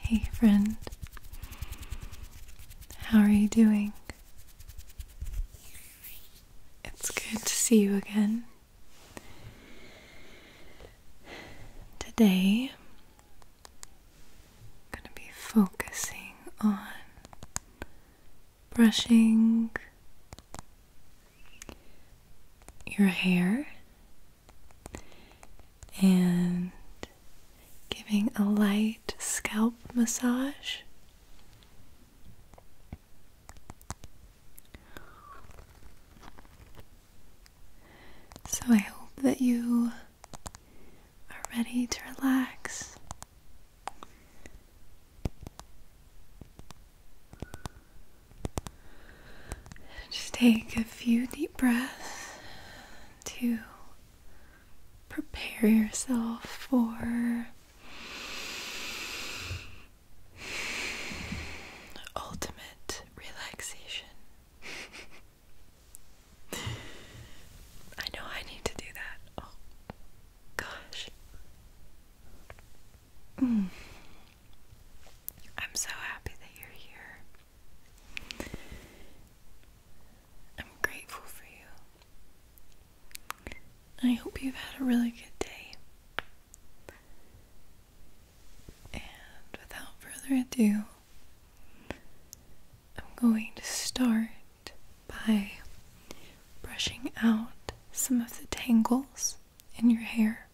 Hey, friend, how are you doing? It's good to see you again. Today, I'm going to be focusing on brushing your hair and giving a light scalp massage. So, I hope that you are ready to relax. Just take a few deep breaths to prepare yourself for ultimate relaxation. I know I need to do that. Oh gosh. Mm. I'm so happy that you're here. I'm grateful for you. I hope you've had a really good day. And without further ado, I'm going to start by brushing out some of the tangles in your hair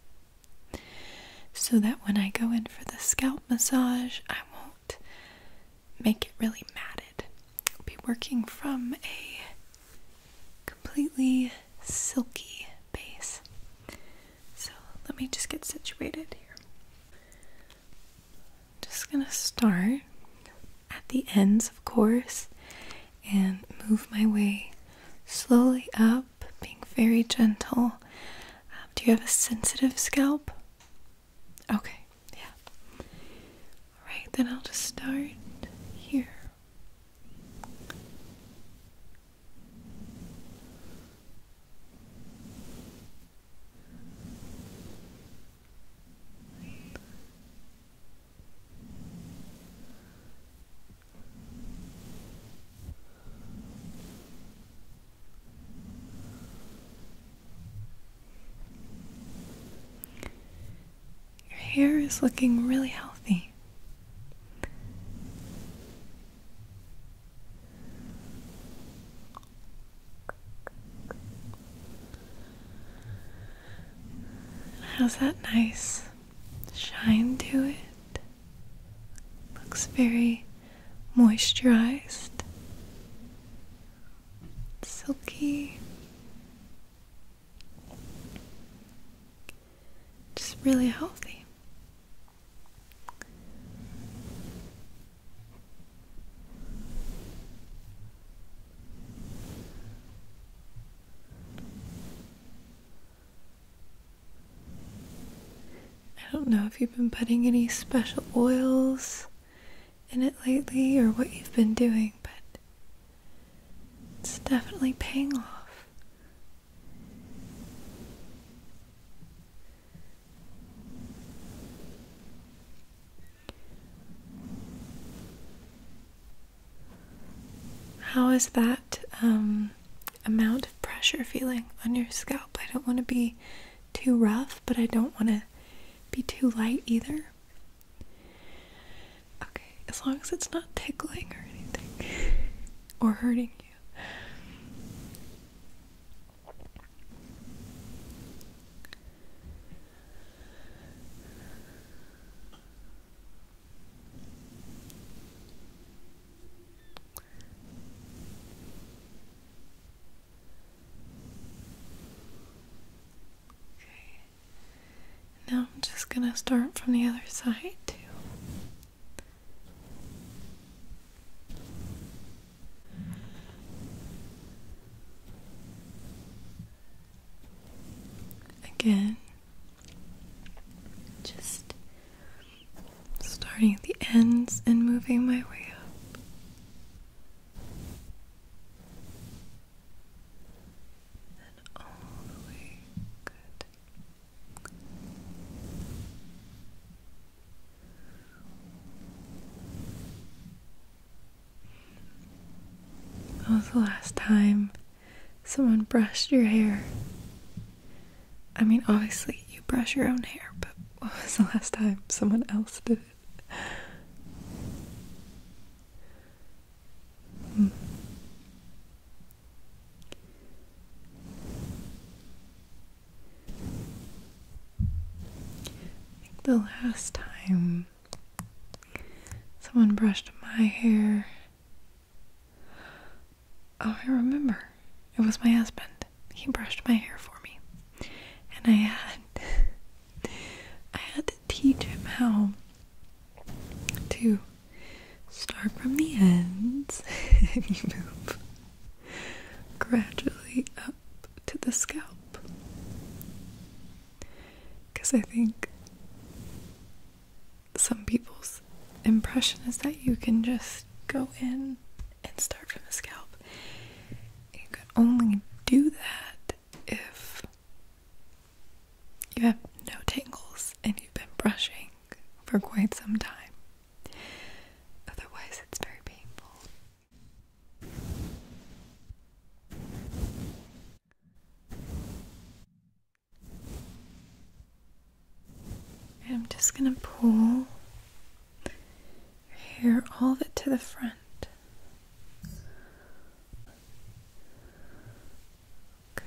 so that when I go in for the scalp massage, I won't make it really matted. I'll be working from a completely silky base. So let me just get situated here. just gonna start at the ends, of course, and move my way slowly up being very gentle. Um, do you have a sensitive scalp? Okay, yeah. Alright, then I'll just start here. Your hair is looking really healthy. How's that nice shine to it? Looks very moisturized, silky. Just really healthy. I don't know if you've been putting any special oils in it lately or what you've been doing, but it's definitely paying off. How is that um, amount of pressure feeling on your scalp? I don't want to be too rough, but I don't want to be too light either. Okay, as long as it's not tickling or anything or hurting you. Okay. Now I'm just going to start from the other side too. Again, just starting at the ends and moving my way up. And all the way. Good. That was the last time someone brushed your hair. I mean, obviously, you brush your own hair, but what was the last time someone else did it? Hmm. the last time someone brushed my hair Oh, I remember. It was my husband. He brushed my hair for me. And I had I had to teach him how to start from the ends and move gradually up to the scalp. Because I think some people's impression is that you can just go in and start from the scalp. You can only do that if you have no tangles and you've been brushing for quite some time. Otherwise, it's very painful. I'm just going to pull your hair all of it to the front. Okay.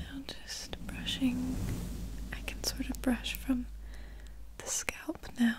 Now, just brushing, I can sort of brush from the scalp now.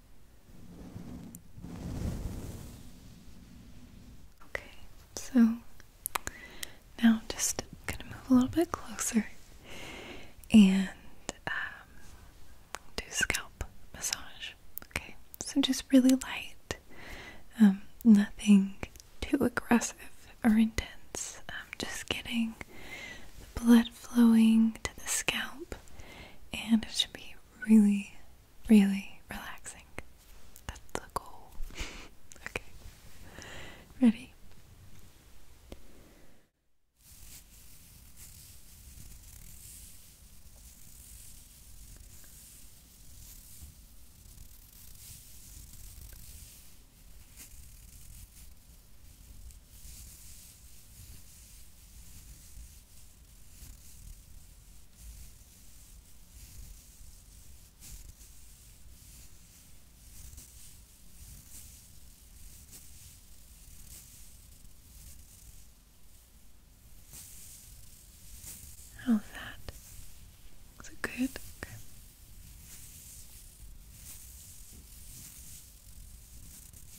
Okay, so now just gonna move a little bit closer and um, do scalp massage. Okay, so just really light, um, nothing too aggressive or intense. I'm just getting the blood flowing to the scalp, and it should be really, really relaxing. That's the goal. okay. Ready? How's that? Is it good?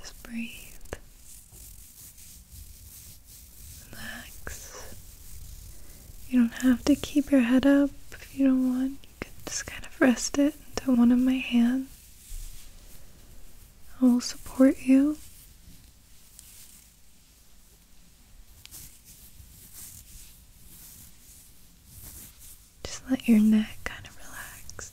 just breathe. Relax. You don't have to keep your head up if you don't want. You can just kind of rest it into one of my hands. I will support you. Just let your neck kind of relax.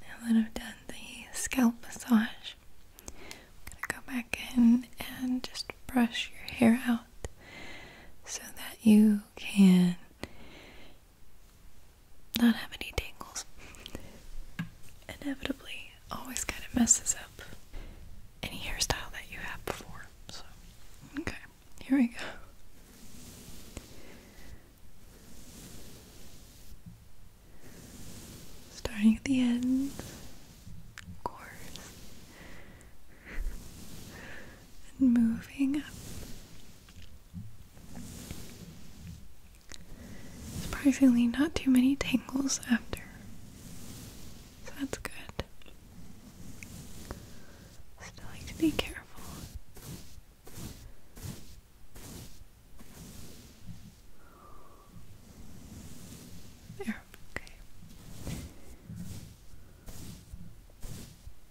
Now that have done the scalp massage, going to go back in and just brush your hair out so that you can not have any tangles inevitably always kind of messes up any hairstyle that you have before. So, okay, here we go. Starting at the end, of course, and moving up. Surprisingly, not too many tangles after. So that's good. Still like to be careful. There, okay.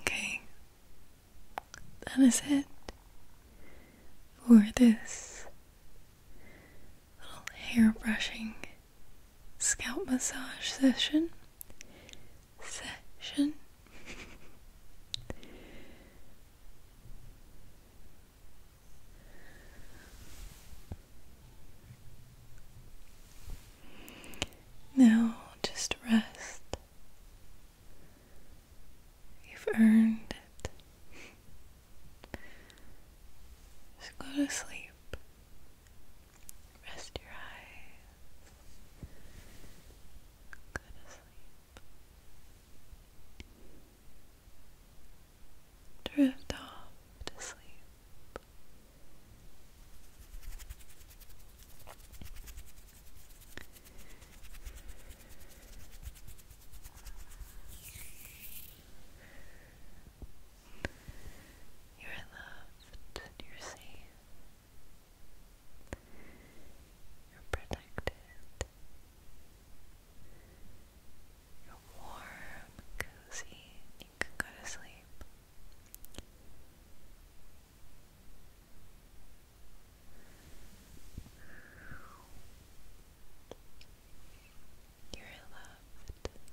Okay, that is it for this little hair brushing scalp massage session. Session. Now just rest. You've earned it. Just go to sleep. Rest your eyes. Go to sleep. Drift off to sleep. You're loved you're safe. You're protected. You're warm, cozy, you can go to sleep. You're loved. go to sleep.